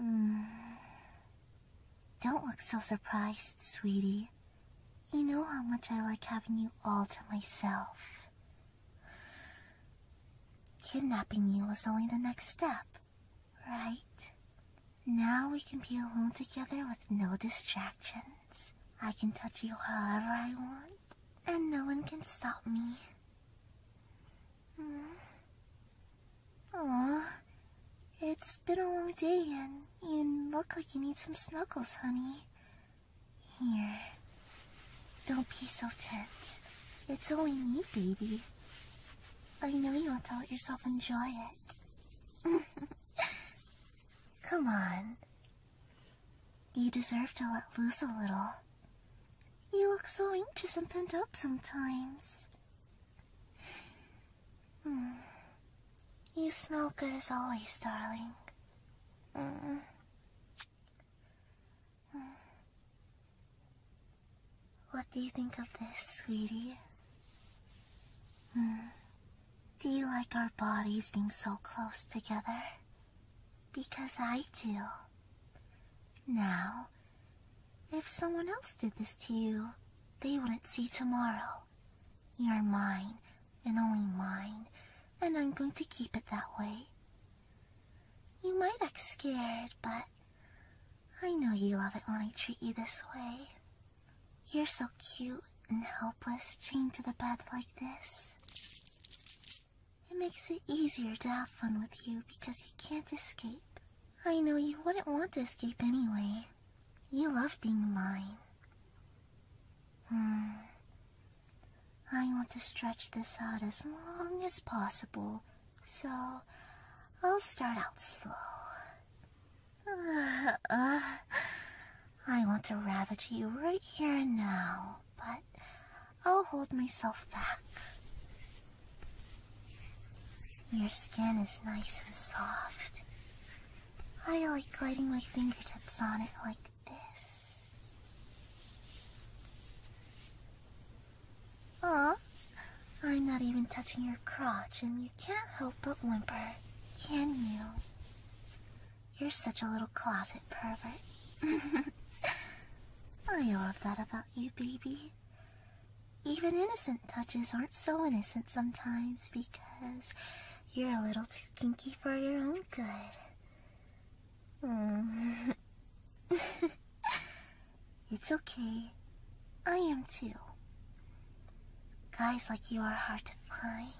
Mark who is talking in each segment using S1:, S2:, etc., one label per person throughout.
S1: Mm. Don't look so surprised, sweetie. You know how much I like having you all to myself. Kidnapping you was only the next step, right? Now we can be alone together with no distractions. I can touch you however I want, and no one can stop me. Mm. it's been a long day and you look like you need some snuggles, honey. Here. Don't be so tense. It's only me, baby. I know you want to let yourself enjoy it. Come on. You deserve to let loose a little. You look so anxious and pent up sometimes. Hmm. You smell good as always, darling. Hmm. Hmm. What do you think of this, sweetie? Do you like our bodies being so close together? Because I do. Now, if someone else did this to you, they wouldn't see tomorrow. You're mine, and only mine, and I'm going to keep it that way. You might act scared, but I know you love it when I treat you this way. You're so cute and helpless chained to the bed like this. It makes it easier to have fun with you because you can't escape. I know you wouldn't want to escape anyway. You love being mine. Hmm. I want to stretch this out as long as possible, so I'll start out slow. Uh, uh, I want to ravage you right here and now, but I'll hold myself back. Your skin is nice and soft. I like gliding my fingertips on it like this. Oh, I'm not even touching your crotch, and you can't help but whimper, can you? You're such a little closet pervert. I love that about you, baby. Even innocent touches aren't so innocent sometimes because you're a little too kinky for your own good. Mm. it's okay. I am too. Guys like you are hard to find.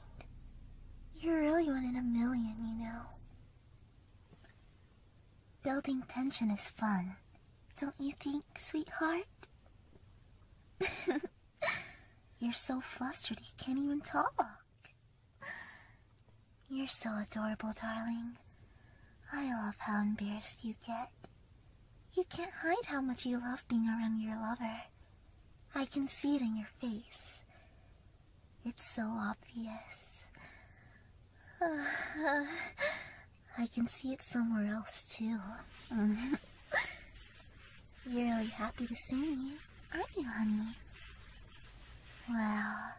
S1: You're really one in a million, you know. Building tension is fun, don't you think, sweetheart? You're so flustered you can't even talk. You're so adorable, darling. I love how embarrassed you get. You can't hide how much you love being around your lover. I can see it in your face. It's so obvious. I can see it somewhere else too. You're really happy to see me, aren't you, honey? Well,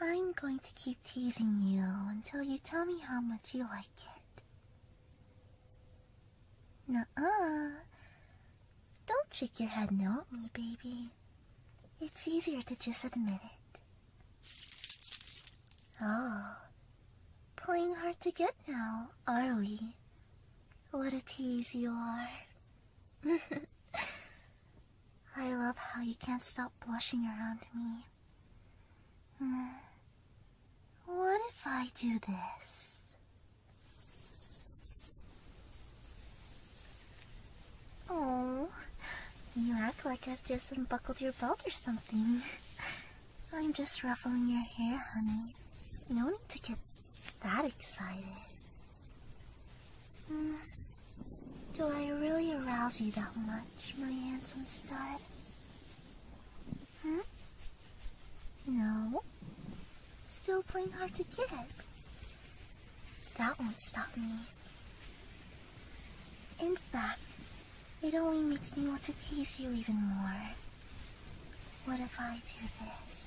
S1: I'm going to keep teasing you until you tell me how much you like it. Nuh-uh. Don't shake your head no at me, baby. It's easier to just admit it. Oh, playing hard to get now, are we? What a tease you are. I love how you can't stop blushing around me. Hmm. What if I do this? Oh, you act like I've just unbuckled your belt or something. I'm just ruffling your hair, honey. No need to get that excited. Mm. Do I really arouse you that much, my handsome stud? Hmm? No. Still playing hard to get. That won't stop me. In fact, it only makes me want to tease you even more. What if I do this?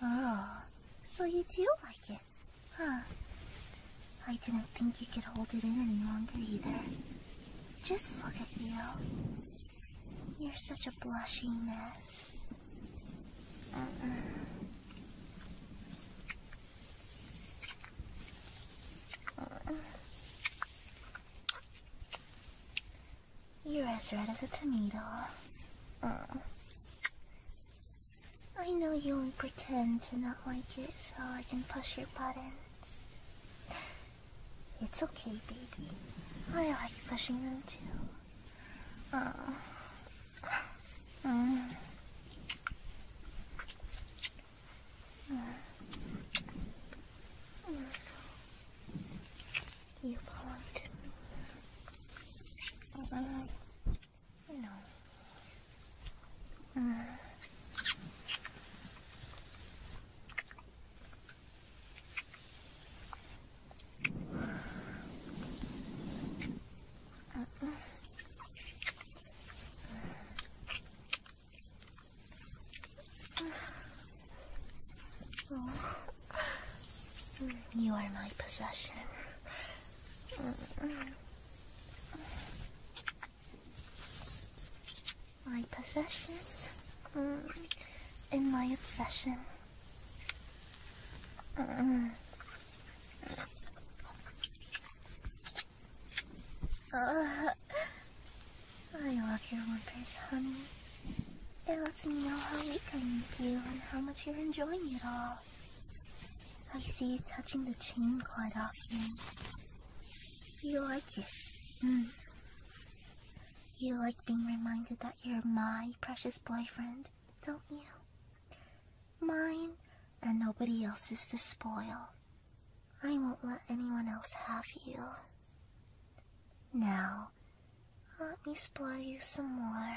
S1: Oh, so you do like it, huh? I didn't think you could hold it in any longer either. Just look at you. You're such a blushy mess. You're as red as a tomato. I know you won't pretend to not like it, so I can push your button. It's okay, baby. I like pushing them too. Oh. Mm. You belong No. You are my possession. My possessions mm, and my obsession. Uh, I love your whimpers, honey. It lets me know how weak I make you and how much you're enjoying it all. I see you touching the chain quite often, you like it. Mm. You like being reminded that you're my precious boyfriend, don't you? Mine and nobody else's to spoil. I won't let anyone else have you. Now, let me spoil you some more.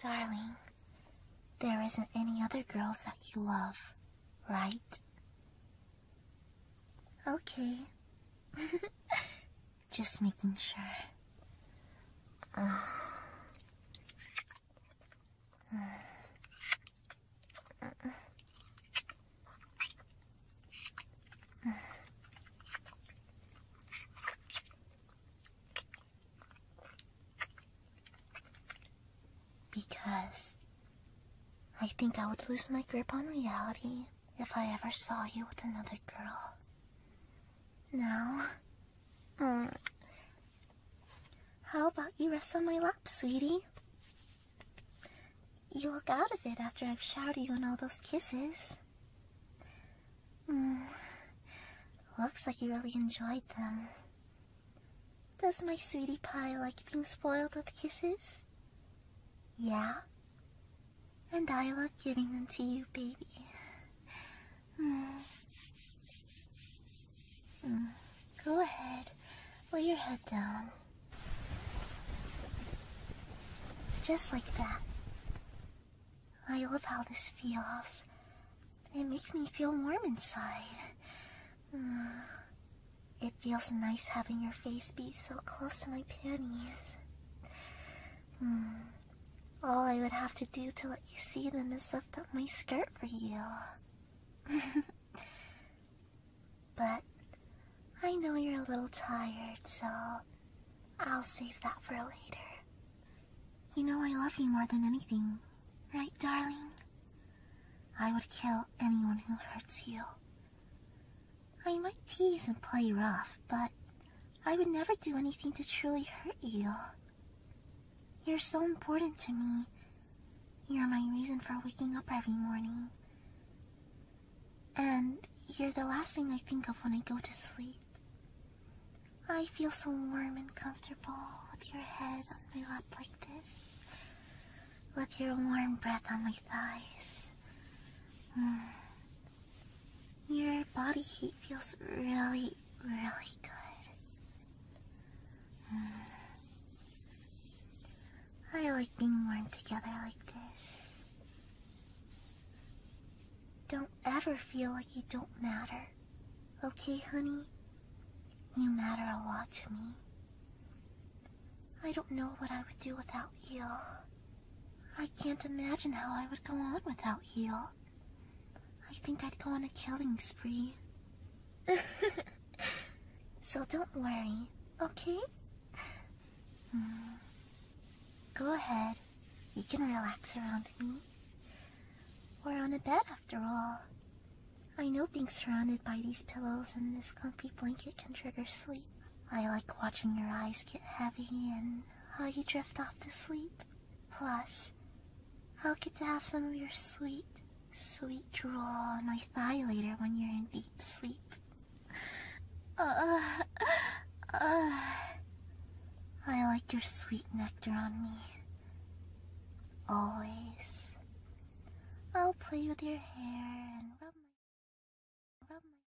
S1: Darling, there isn't any other girls that you love, right? Okay. Just making sure. Because I think I would lose my grip on reality if I ever saw you with another girl. Now, uh, how about you rest on my lap, sweetie? You look out of it after I've showered you in all those kisses. Mm, looks like you really enjoyed them. Does my sweetie pie like being spoiled with kisses? Yeah? And I love giving them to you, baby. Mm. Mm. Go ahead, lay your head down. Just like that. I love how this feels. It makes me feel warm inside. Mm. It feels nice having your face be so close to my panties. Hmm. All I would have to do to let you see them is lift up my skirt for you. but I know you're a little tired, so I'll save that for later. You know I love you more than anything, right, darling? I would kill anyone who hurts you. I might tease and play rough, but I would never do anything to truly hurt you. You're so important to me. You're my reason for waking up every morning. And you're the last thing I think of when I go to sleep. I feel so warm and comfortable with your head on my lap like this, with your warm breath on my thighs. Mm. Your body heat feels really, really good. Mm. I like being warm together like this. Don't ever feel like you don't matter. Okay, honey? You matter a lot to me. I don't know what I would do without you. I can't imagine how I would go on without you. I think I'd go on a killing spree. so don't worry, okay? Hmm. Go ahead. You can relax around me. We're on a bed after all. I know being surrounded by these pillows and this comfy blanket can trigger sleep. I like watching your eyes get heavy and how you drift off to sleep. Plus, I'll get to have some of your sweet, sweet draw on my thigh later when you're in deep sleep. Uh, uh, uh, I like your sweet nectar on me. Always. I'll play with your hair and rub my, rub my.